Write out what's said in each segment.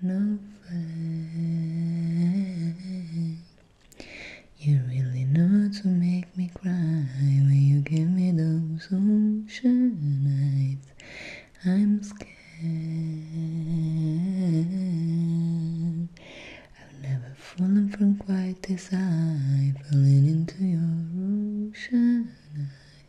No way. You really know to make me cry when you give me those ocean eyes. I'm scared. I've never fallen from quite this high, falling into your ocean eyes.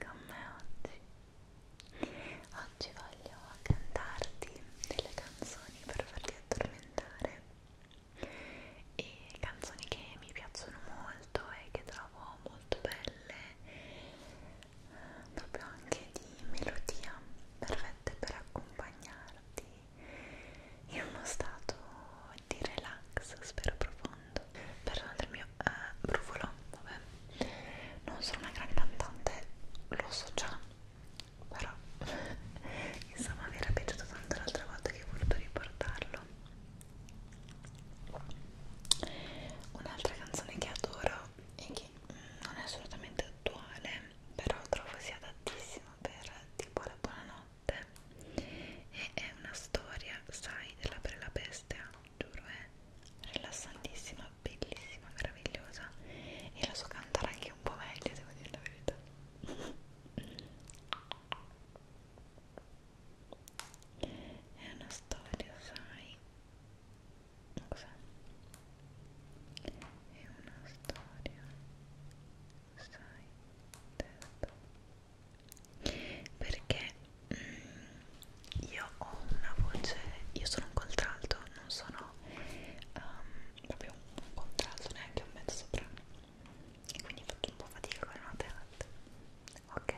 con me oggi. Oggi voglio cantarti delle canzoni per farti addormentare e canzoni che mi piacciono molto e che trovo molto belle, proprio anche di melodia, perfette per accompagnarti in uno stato di relax, spero profondo. Per il mio eh, brufolo, vabbè, non sono una grande cantante, lo so già, però insomma mi era piaciuto tanto l'altra volta che ho voluto riportarlo. Un'altra canzone che adoro e che mm, non è assolutamente attuale, però trovo sia adattissima per tipo la buonanotte e è una storia, sai, della bella bestia, giuro, è rilassantissima, bellissima, meravigliosa e la so cantare anche un po' meglio, devo dire la verità è una storia, sai cos'è? è una storia sai, detto perché io ho una voce, io sono un contralto, non sono um, proprio un contralto, neanche un mezzo soprano e quindi faccio un po' fatica con le note alte ok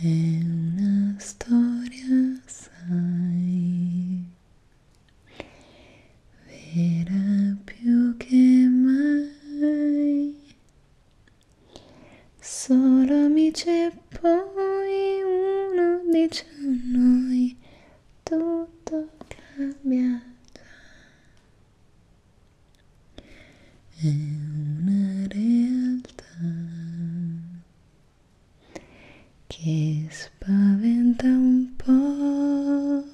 è una storia sai vera più che mai Solo amici e poi uno dice a noi tutto cambia già. È una realtà che spaventa un po',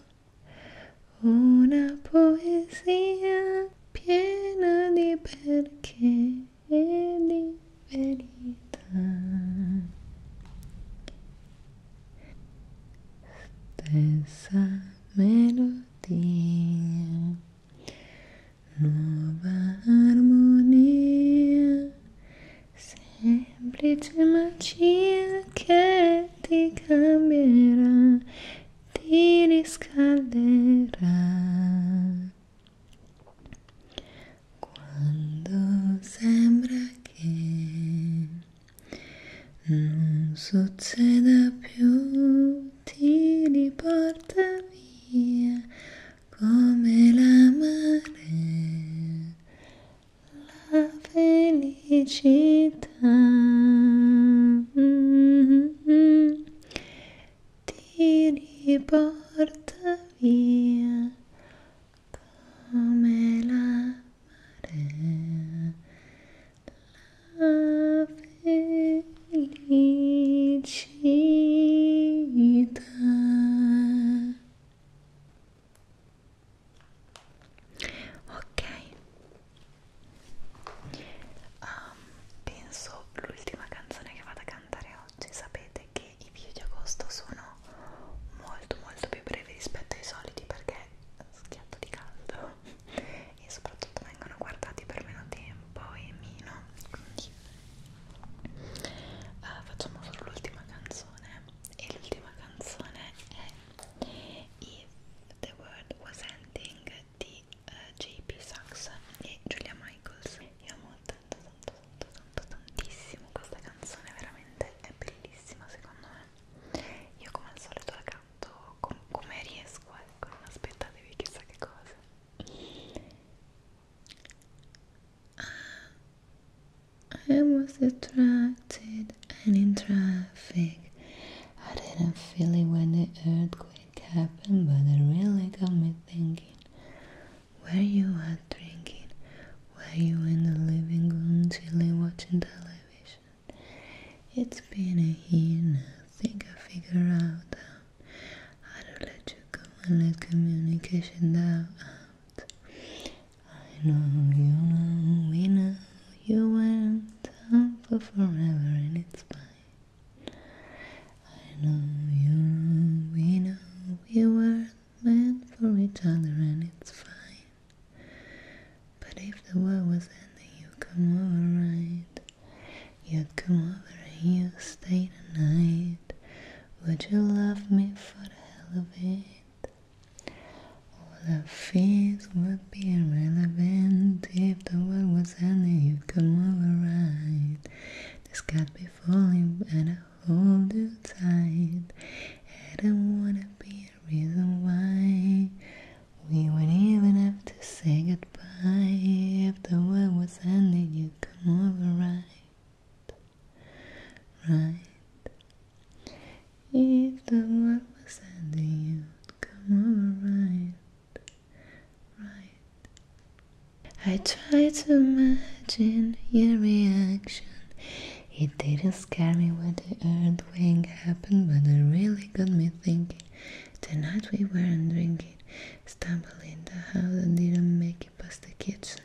una poesia piena di perché. ele verità stessa melodia nuova armonia semplice magia que te cambierà ti riscalderà Quando sembra che non succeda più, ti riporta via come la mare, la felicità. Mm -hmm ti riporta via come la marea la felicità ok penso l'ultima canzone che vado a cantare oggi sapete che i video di agosto sono molto molto più brevi rispetto ai soliti perché schiatto di caldo e soprattutto vengono guardati per meno tempo e meno quindi uh, facciamo solo l'ultima canzone e l'ultima canzone è If the World Was Ending di uh, eh, JP Sachs e Julia Michaels io amo tanto tanto tanto tanto tantissimo questa canzone veramente è bellissima secondo me io come al solito la canto com come riesco ecco non aspettatevi chissà che cosa ah, I was attracted and in traffic I didn't feel it when the earthquake it happened, but it really got me thinking. Where you out drinking? Were you in the living room chilly watching television? It's been a year now, think I figure out uh, how to let you go and let communication out. I know you know, we know you went on for forever and it's bye. I know you know we know we weren't meant for each other and it's fine But if the world was ending you'd come over right You'd come over and you'd stay the night Would you love me for the hell of it? All the fears would be irrelevant if the world was house and you come over right. The sky be falling and I hold you tight. I don't wanna be a reason why we would not even have to say goodbye. If the world was ending, you come over right, right. If the world was ending, you'd come over right. I try to imagine your reaction. It didn't scare me when the earthquake happened, but it really got me thinking. Tonight we weren't drinking, stumbled in the house and didn't make it past the kitchen.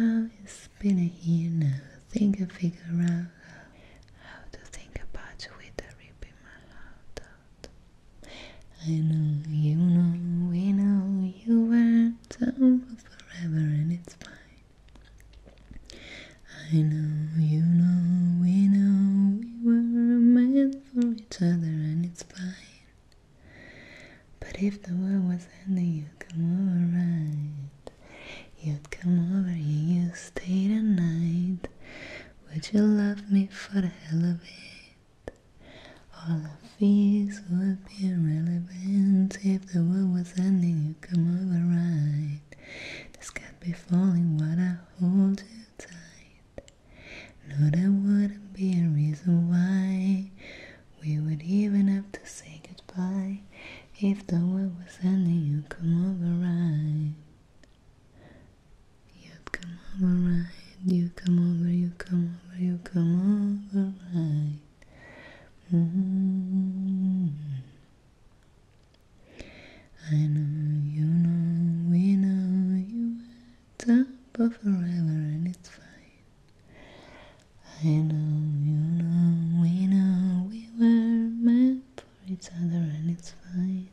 Oh, it's been a year now. I think I figure out how, to think about you with a rib in my heart. I know you know, we know you were down for forever and it's fine. I know you know, we know we were meant for each other and it's fine. But if the world was ending, you'd come over right. You'd come over and you'd stay the night. Would you love me for the hell of it? All the fears would be irrelevant if the world was ending. You come over right. This can't be falling, while I hold you tight. No, there wouldn't be a reason why we would even have to say goodbye if the world was ending. You come over right. You come over right, you come over, you come over, you come over right. Mm-hmm. I know you know, we know you at top of forever and it's fine. I know you know, we know we were meant for each other and it's fine.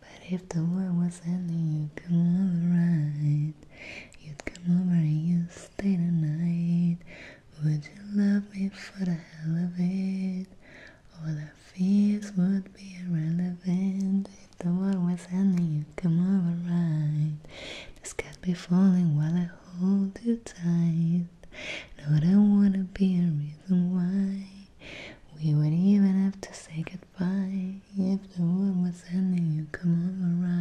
But if the world was ending, you'd come over right. You'd come over and you'd stay the night. Would you love me for the hell of it? All the fears would be irrelevant. If the world was ending, you'd come over right. The sky be falling while I hold you tight. No, I don't wanna be a reason why. We would even have to say goodbye if the world was ending. You would come on over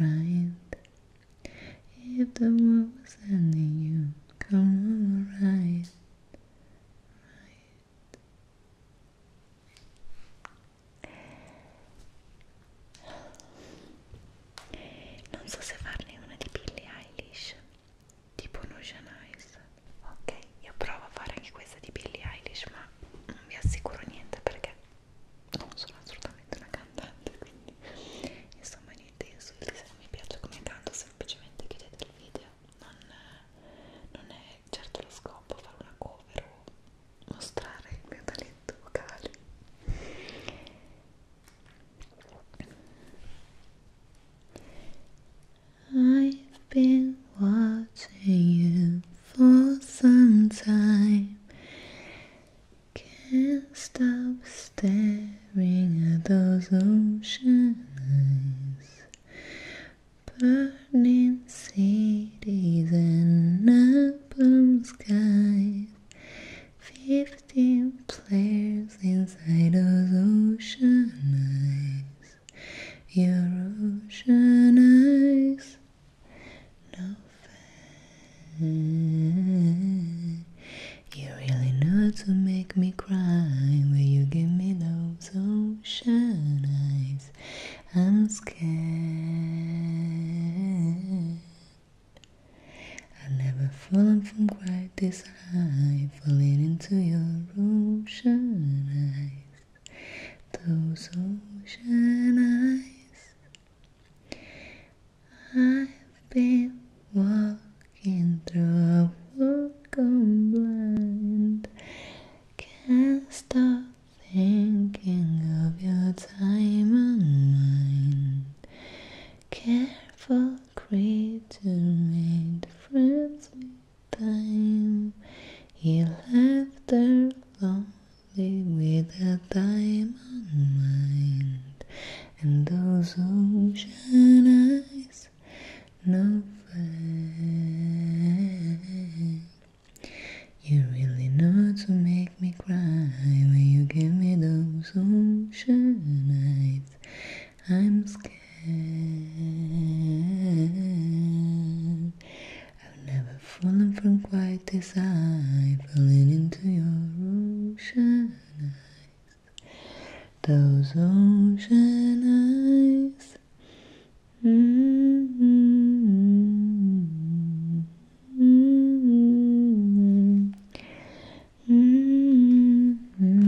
ride, right. If the world was ending, you would come over right, ride. Non so se farne una di Billie Eilish tipo Notion Ice ok io provo a fare anche questa di Billie Eilish ma non vi assicuro niente perché non sono assolutamente una cantante quindi insomma niente insulti se non mi piace come canto semplicemente chiudete il video non, non è certo lo scopo fare una cover o mostrare il mio talento vocale I've been watching you for some time. Can't stop staring at those ocean eyes. Burning cities and apple skies. Fifteen players inside those ocean eyes, your ocean eyes. No fan. You really know to make me cry when you give me those ocean eyes. I'm scared. I've never fallen from quite this should I fall into your room? Should I? Those ocean eyes. I've been walking through a fog, gone blind. Can't stop thinking of your time and mine. Careful creature made friends with time. He left her lonely with a diamond mind. And those ocean eyes, no fame. You really know to make me cry when you give me those ocean eyes. I'm scared. I've never fallen from quite this high, falling into your ocean eyes. Those ocean eyes mmm, fair,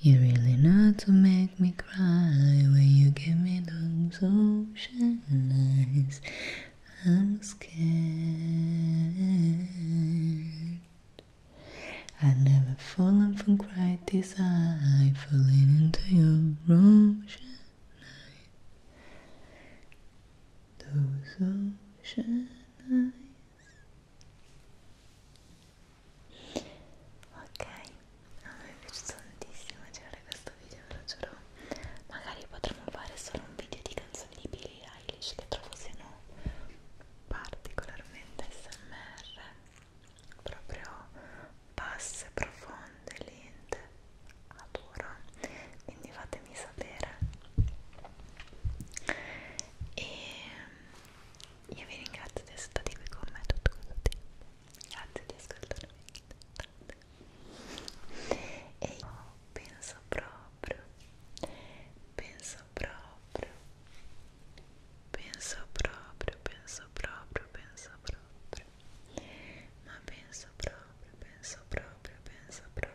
you really know to make me cry when you give me those ocean eyes. I'm scared. I've never fallen from quite this high, falling into your ocean eyes. Those ocean eyes. ok a me è piaciuto tantissimo girare questo video ve lo giuro magari potremmo fare solo un video di canzoni di Billie Eilish che trovo siano particolarmente smr proprio basse, profonde, lente adoro quindi fatemi sapere e io vi ringrazio di essere stati qui con me tutto questo tempo. Grazie di ascoltarmi. E io penso proprio, penso proprio, penso proprio, penso proprio, penso proprio, ma penso proprio, penso proprio, penso proprio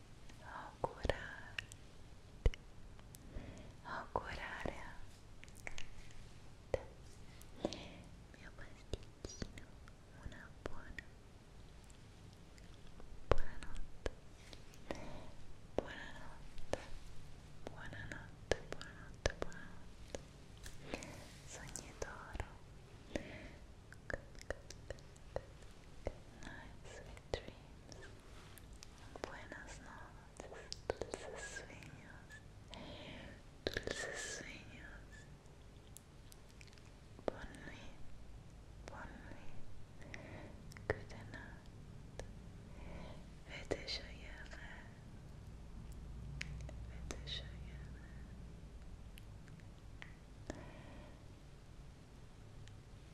a curar, mio pasticcino, una buona buonanotte buonanotte buonanotte buonanotte buonanotte sognatore Good, good, night, sweet dreams. Buenas noches, dulces sueños. Dulces sueños. Bonne nuit, Good night. Vete joyeux. Vete joyeux.